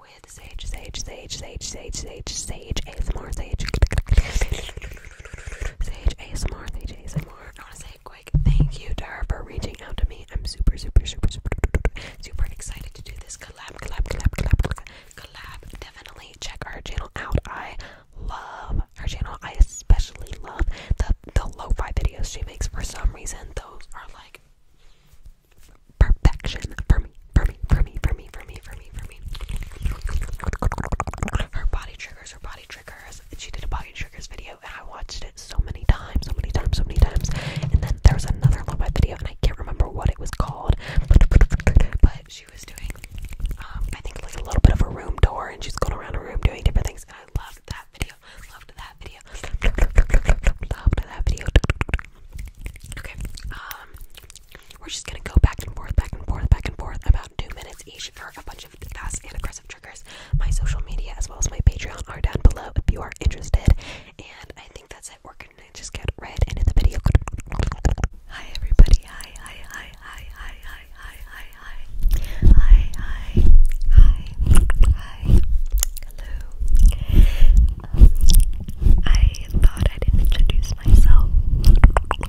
with Sage, Sage, Sage, Sage, Sage, Sage, Sage, ASMR, Sage, Sage, ASMR, ASMR. I want to say a quick thank you Dar, for reaching out to me. I'm super, super, super, super, super excited to do this collab, collab, collab, collab, collab. Definitely check our channel out. I love our channel. I especially love the the lo-fi videos she makes. For some reason, those are like perfection for me, for me, for me, for me, for me, for me, for me. Her body triggers, her body triggers. She did a body triggers video, and I watched it so many times, so many times, so many times. And then there was another Love Live video, and I can't remember what it was called, but she was doing, um, I think like a little bit of a room tour, and she's going around a room doing different things, and I loved that video. Loved that video. Loved that video. Okay, um, we're just gonna go back and forth, back and forth, back and forth, about two minutes each for a bunch of fast and aggressive triggers. My social media as well as my Patreon are down below if you are interested. And I think that's it. We're gonna just get right into the video. Hi everybody. Hi, hi, hi, hi, hi, hi, hi, hi, hi, hi, hi, hi, Hello. I thought I'd introduce myself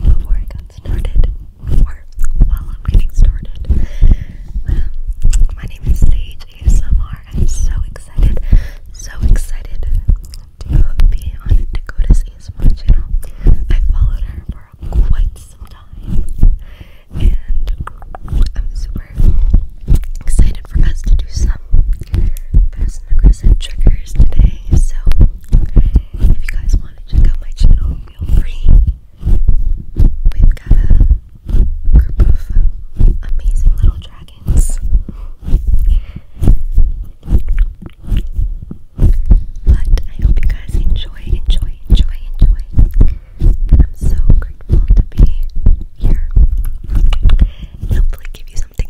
before I got started, or while I'm getting started. my name is Sage ASMR. I'm so excited, so excited to be on Dakota's ASMR channel. I followed her for quite some time, and I'm super excited for us to do some um, fast and triggers today. So, if you guys want to check out my channel, feel free. We've got a group of um, amazing little dragons. But I hope you guys enjoy, enjoy, enjoy, enjoy. I'm so grateful to be here. hopefully give you something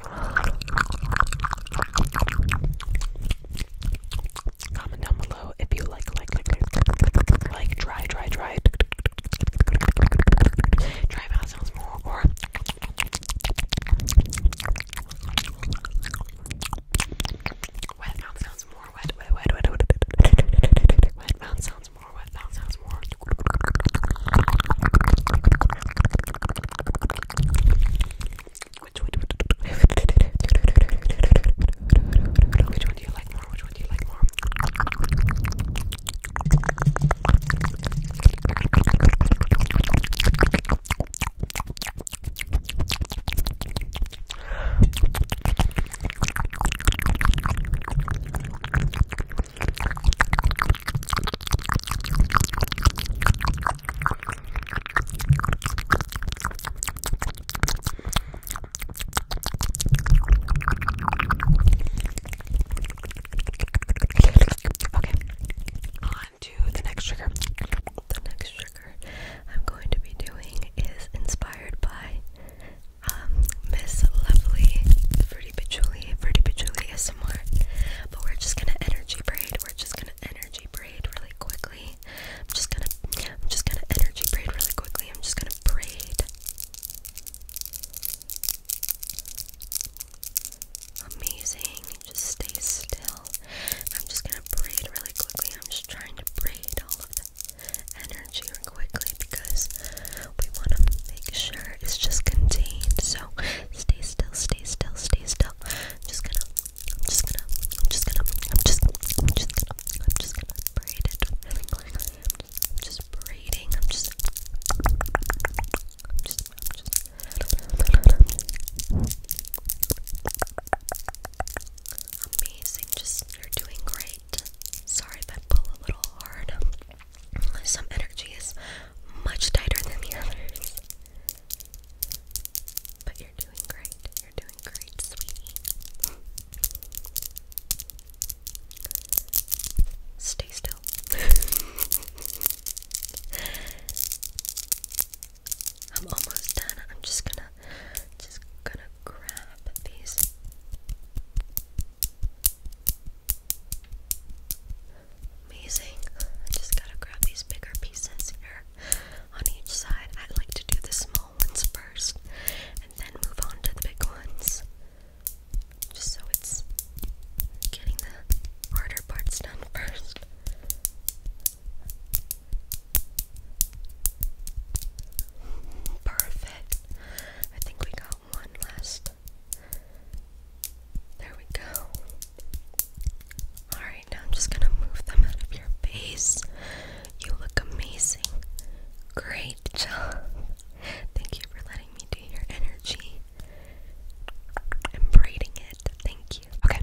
Comment down below if you like, like, like, like, like, dry, dry, dry, dry mouth sounds more, or wet mouth sounds more, wet, wet, wet, wet, wet, wet, wet mouth sounds more, wet mouth sounds more. Which one do you Which one do you like more? Which one do you like more? Okay, on to the next trigger. The next trigger I'm going to be doing is inspired by um, Miss Lovely Fruity Patchouli. Fruity Patchouli is ASMR. But we're just gonna energy braid. We're just gonna energy braid really quickly. I'm just gonna I'm just gonna energy braid really quickly. I'm just gonna braid. Amazing. Just stay still. I'm just gonna braid really quickly. I'm just trying to braid all of the energy quickly because we wanna make sure it's just contained. So stay still, stay still, stay still. just gonna, just gonna, just gonna, i just, just just just braiding. I'm just, i I'm just. Amazing, just you're doing great. Sorry if I pull a little hard. Some energy is much tighter than the others. But you're doing great. You're doing great, sweetie. Stay still. I'm almost done. I'm just gonna just gonna grab these. Amazing. I just gotta grab these bigger pieces here on each side. I like to do the small ones first and then move on to the big ones. Just so it's getting the harder parts done first. Perfect. I think we got one last there we go. Alright, now I'm just gonna move them out of your face. You look amazing. Great job. Thank you for letting me do your energy and braiding it. Thank you. Okay,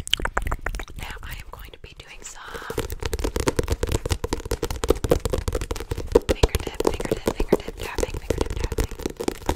now I am going to be doing some fingertip, fingertip, fingertip tapping, fingertip tapping.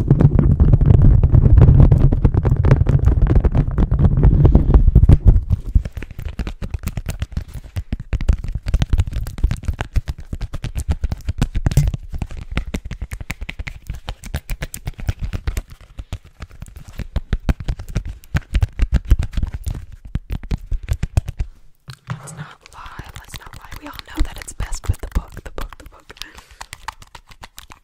Let's not lie, let's not lie. We all know that it's best with the book, the book, the book.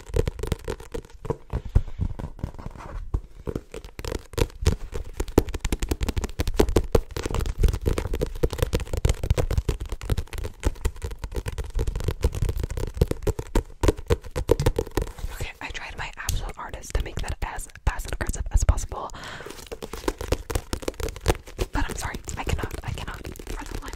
Okay, I tried my absolute hardest to make that as fast and aggressive as possible. But I'm sorry, I cannot, I cannot. I cannot.